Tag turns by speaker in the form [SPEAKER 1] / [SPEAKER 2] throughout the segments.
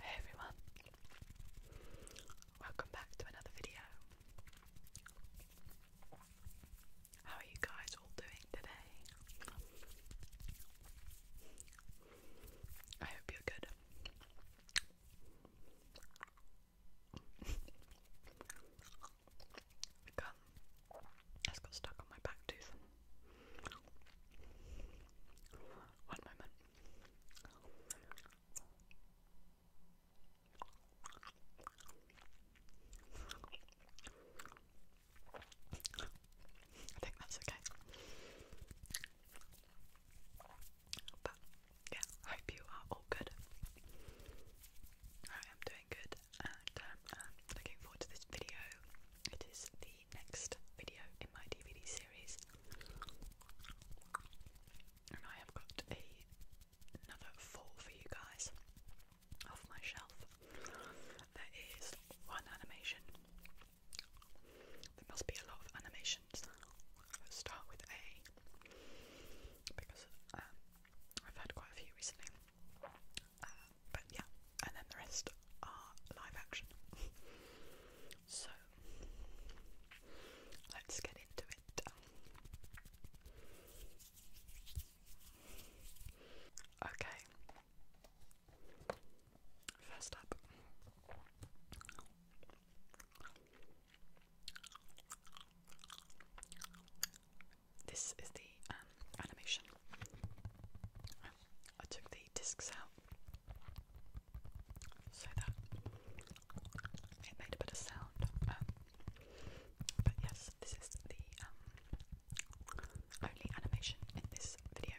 [SPEAKER 1] Hey everyone, welcome back to another video. How are you guys all doing today? I hope you're good. I that got stuck on my back tooth. One moment. I think that's okay. But yeah, I hope you are all good. I am doing good and um, looking forward to this video. It is the next video in my DVD series, and I have got a, another fall for you guys off my shelf. There is one animation. There must be a lot of animations start with A because um, I've had quite a few recently. Uh, but yeah, and then the rest are live action. so let's get into it. Okay. First up. This is the um, animation. I took the discs out so that it made a bit of sound. Um, but yes, this is the um, only animation in this video,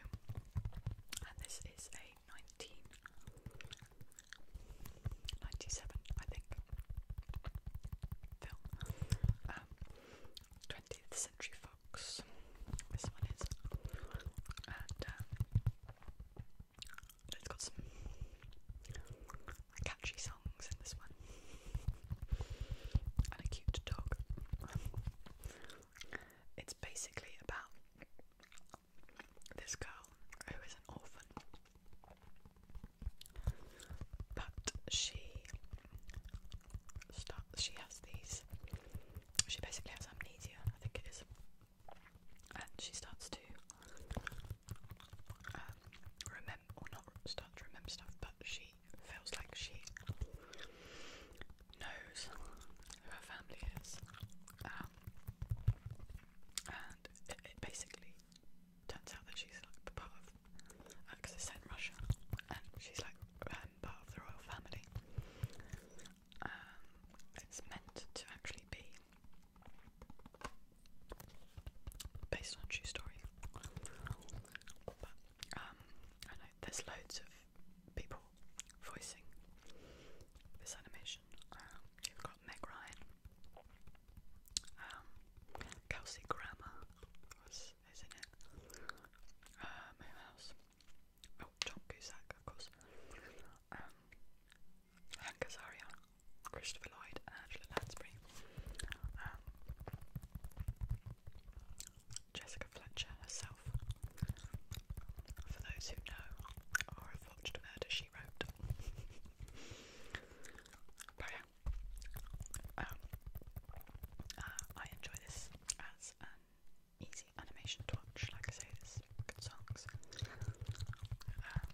[SPEAKER 1] and this is a 1997, I think, film. 20th um, Century this one is. And um, it's got some catchy songs in this one. And a cute dog. It's basically about this girl who is an orphan. But she start, she has these, she basically has amnesia, I think it is, and she starts to um, remember, or not start to remember stuff, but she feels like she knows who her family is, um, and it, basically turns out that she's like part of, because uh, Russia, and she's like, member of the royal family. Um, it's meant to actually be based on a true story. But, um, there's loads of people voicing this animation. Um, you've got Meg Ryan, Kelsey Grammer house, isn't it? Uh, Oh, John Cusack, of course. Hank Azaria, Christopher Lloyd, Angela Lansbury. Jessica Fletcher herself. For those who know or have watched Murder, She Wrote. but yeah, um, uh, I enjoy this as um, easy animation to watch. Like I say, it's good songs. Um,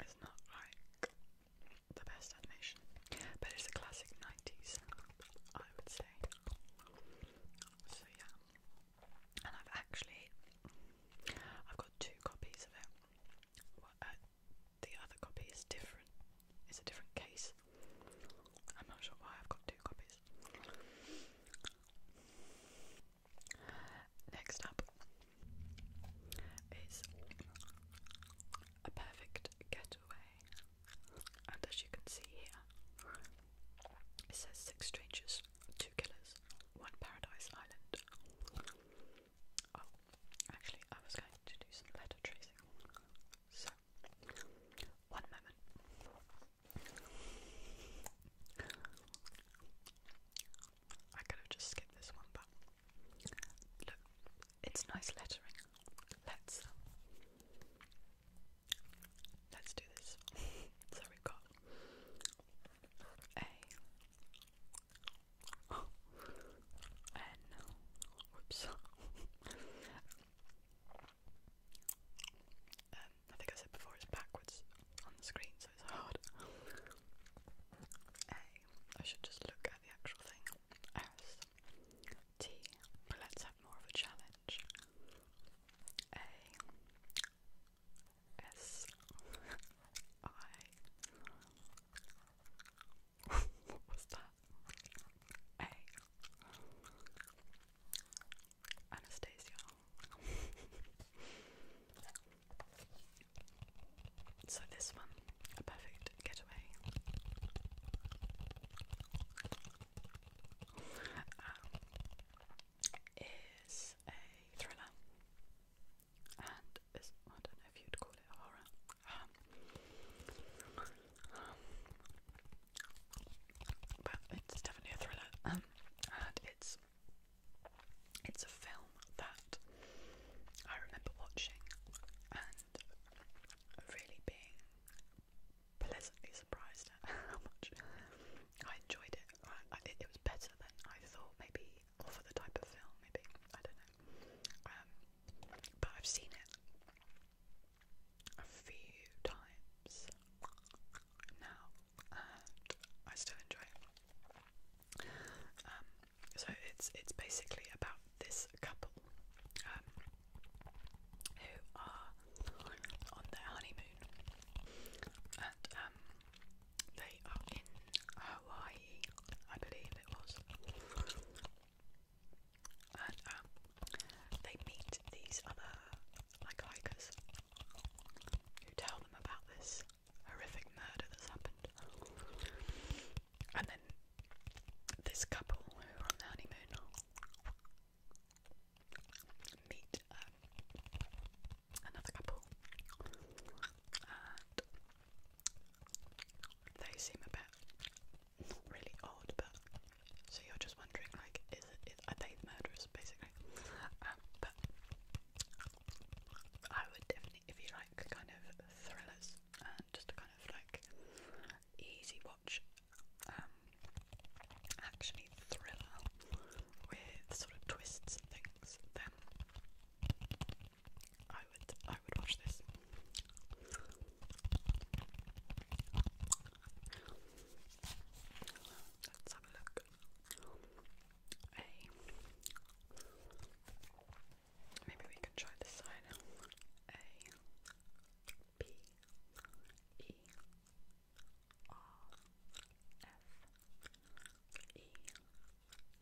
[SPEAKER 1] it's not like the best animation, but it's a classic 90s, I would say. So, yeah. And I've actually, I've got two copies of it. Uh, the other copy is different. It's a different case. I'm not sure why I've got two copies. Next up is a perfect getaway, and as you can see here, it says six strangers, two killers, one paradise island. Oh, actually, I was going to do some letter tracing, so one moment. I could have just skipped this one, but look, it's nice lettering. Let's um, let's do this. so we got a and whoops. Um, I think I said before it's backwards on the screen, so it's hard. A. I should just look at the actual thing. S. T. let's have more of a challenge. A. S. I. what was that? Hey. Anastasia. so this one, a perfect getaway. Um, is a thriller and is, I don't know if you'd call it horror um, um, but it's definitely a thriller, um, and it's it's a film that I remember watching and really being pleasantly surprised at how much I enjoyed it. I, it was better than I thought, maybe, for the type of film, maybe I don't know. Um, but I've seen it a few times now, I still enjoy it. Um, so it's it's basically about this couple um, who are on their honeymoon, and um, they are in Hawaii, I believe it was, and um, they meet these other hikers who tell them about this horrific murder that's happened. And then this couple who are on the honeymoon meet um, another couple they seem a bit not really odd, but so you're just wondering, like, is it, is, are they the murderers basically? Um, but I would definitely, if you like, kind of thrillers and just kind of like easy watch, um, actually thriller with sort of twists and things, then I would I would watch this. Let's have a look. Maybe we can try this side. A. B. E. R. F. E.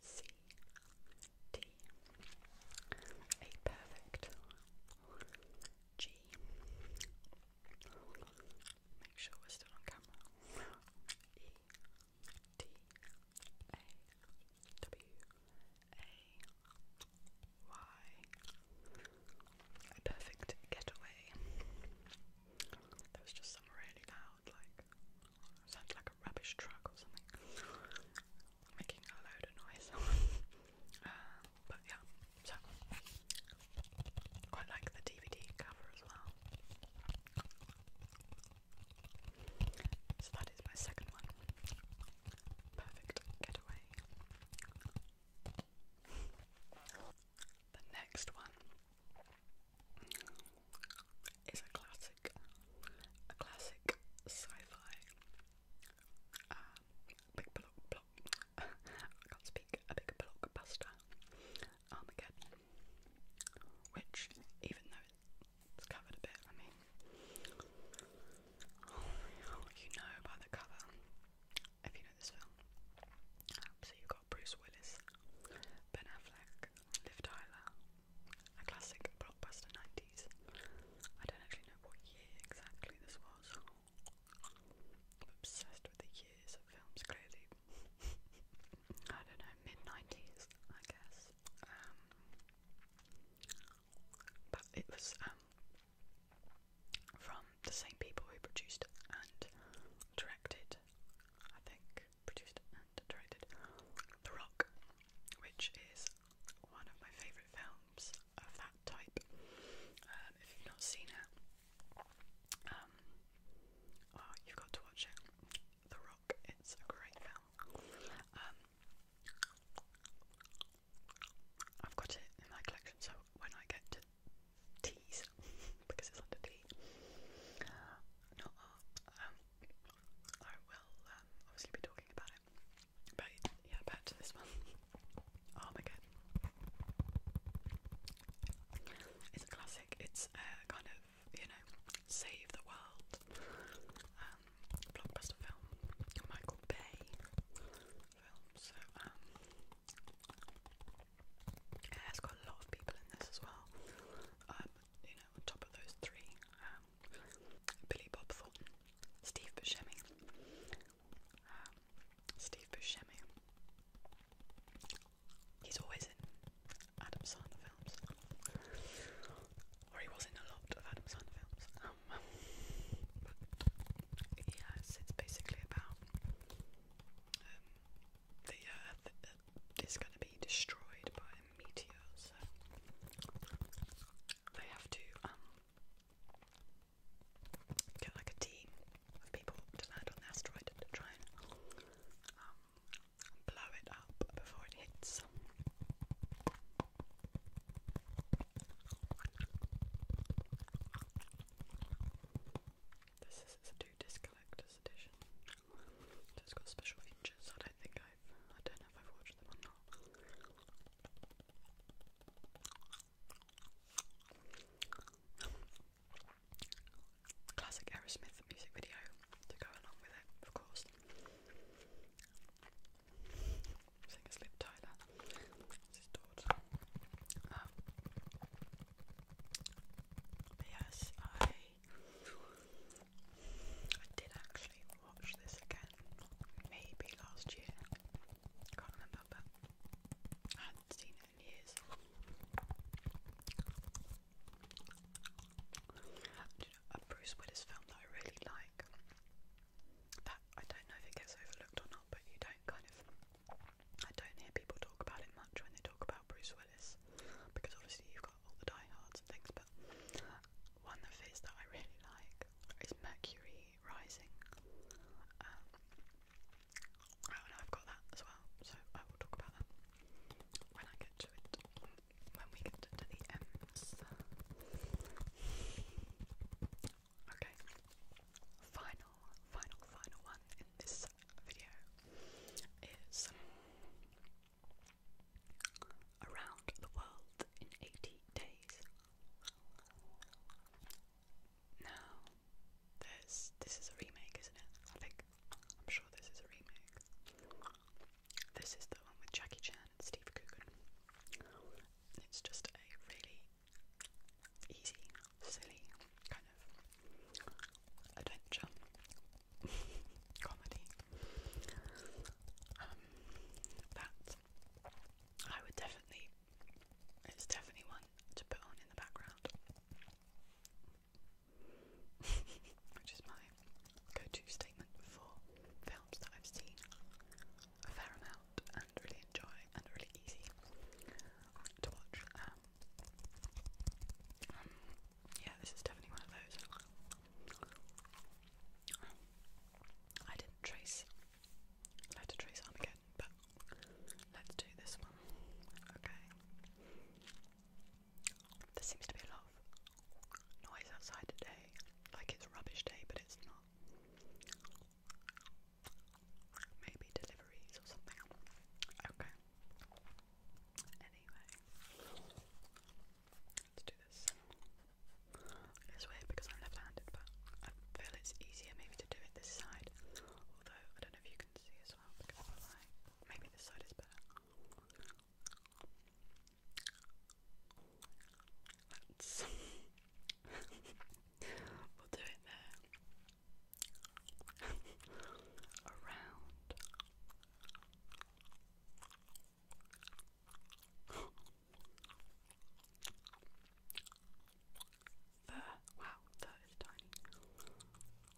[SPEAKER 1] C. D. A perfect G. Make sure we're still on camera. E T A W A Y. A perfect getaway. There was just some really loud, like sounded like a rubbish truck or something making a load of noise. Uh, but yeah, so quite like the DVD cover as well. So that is my second one. Perfect getaway. The next one is a classic, a classic sci-fi a big block, blockbuster Armageddon, which even though it's covered a bit, I mean, you know by the cover, if you know this film. So you got Bruce Willis, Ben Affleck, Liv Tyler, a classic blockbuster I don't actually know what year exactly this was. I'm obsessed with the years of films, clearly. I don't know, mid 90s, I guess. Um, but it was um, from the same people who produced and directed, I think, produced and directed The Rock, which is one of my favourite films of that type. Um, if you've not seen it, um, oh, you've got to watch it. The Rock, it's a great film. Um, I've got it in my collection, so when I get to teas, because it's under tea, not art, um, I will obviously be talking about it. But yeah, back this one. Oh my god. It's a classic. It's a uh, kind of, you know, save the world um, blockbuster film. Michael Bay film. Um, it's got a lot of people in this as well. Um, you know, on top of those three. Billy Bob Thornton, Steve Buscemi, um, Steve Buscemi. He's always in Adam Sandler films, or he was in a lot of Adam Sandler films. Um, yes, it's basically about um, the uh, Earth uh, is going to be destroyed by a meteor, so they have to get like a team of people to land on the asteroid to try and um, blow it up before it hits. This is it's two disc collector's edition. it's got special features. I don't think I've I don't know if I've watched them or not. Classic Aerosmith music video to go along with it, of course. Singers Tyler, this daughter. Um, yes, I, I did actually watch this again, maybe last year. Can't remember, but I haven't seen it in years. You know, a Bruce Willis film that I really like. That I don't know if it gets overlooked or not, but you don't kind of. I don't hear people talk about it much when they talk about Bruce Willis, because obviously you've got all the diehards and things. But one of his that I really like is Mercury rising. Um, oh, and I've got that as well, so I will talk about that when I get to it. When we get to the M's. Okay, final, final, final one in this video is Around the World in 80 Days now, this this is a remake, isn't it? I think I'm sure this is a remake. This is the one with Jackie Chan and Steve Coogan. It's just a really easy, silly kind of adventure comedy. Um, I would definitely, it's definitely one to put on in the background, which is my go-to statement for films that I've seen a fair amount and really enjoy and really easy to watch. Um, yeah, this is definitely one of those. I didn't trace I have to trace again, but let's do this one. Okay. There seems to be a lot noise outside today. Like it's a rubbish day, but it's not. Maybe deliveries or something. Okay. Anyway. Let's do this. It's weird because I'm left-handed, but I feel it's easier maybe to do it this side. Although I don't know if you can see as well maybe this side is better. Let's we'll do it there. Around the wow, that is tiny.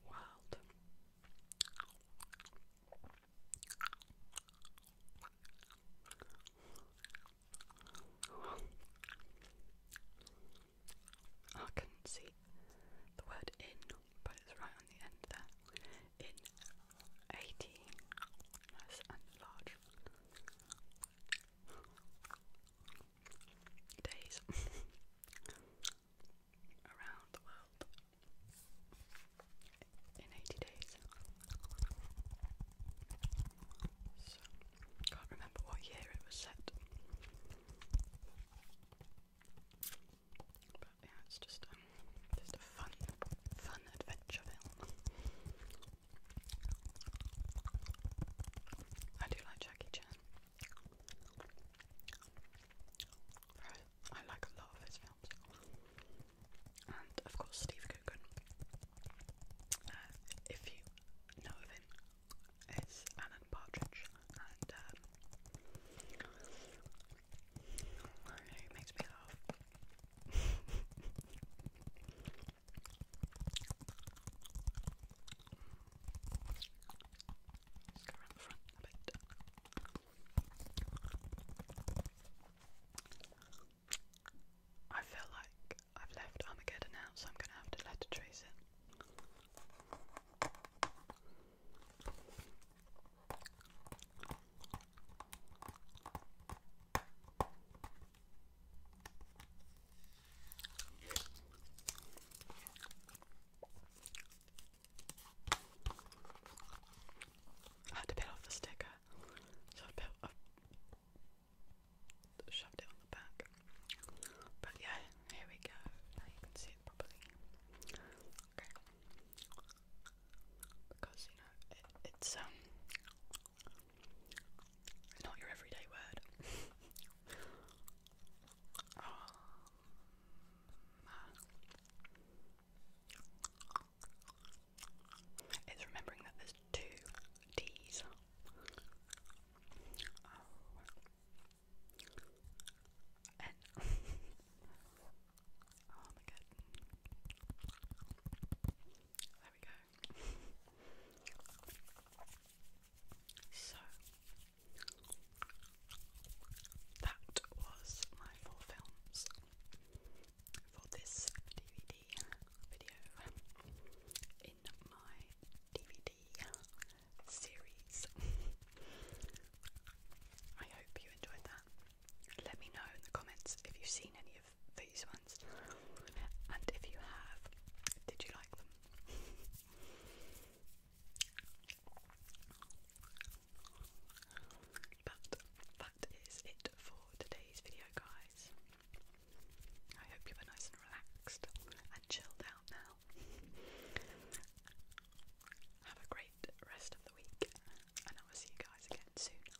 [SPEAKER 1] Wild. I could see the word in, but it's right on the end there. In eighteen, nice and days around the world in 80 days. can't remember what year it was set. But yeah, it's just um, just a fun, fun adventure film. I do like Jackie Chan. I like a lot of his films. And of course, Steve Coogan. Uh, if you know of him, it's Alan Partridge, and um, he makes me laugh. I feel like I've left Armageddon out, so I'm going to have to let her trace it. I had to peel off the sticker, so I put, shoved it on the back. But yeah, here we go. Now you can see it properly. Okay. Because you know it's um it's not your everyday word. Ah. It's remembering that there's two D's. Oh. oh. my god. There so that was my four films for this DVD video in my DVD series. I hope you enjoyed that. Let me know in the comments if you've seen any of these ones. And if you have, did you like them? but that is it for today's video, guys. I hope you were nice and relaxed and chilled out now. Have a great rest of the week, and I will see you guys again soon.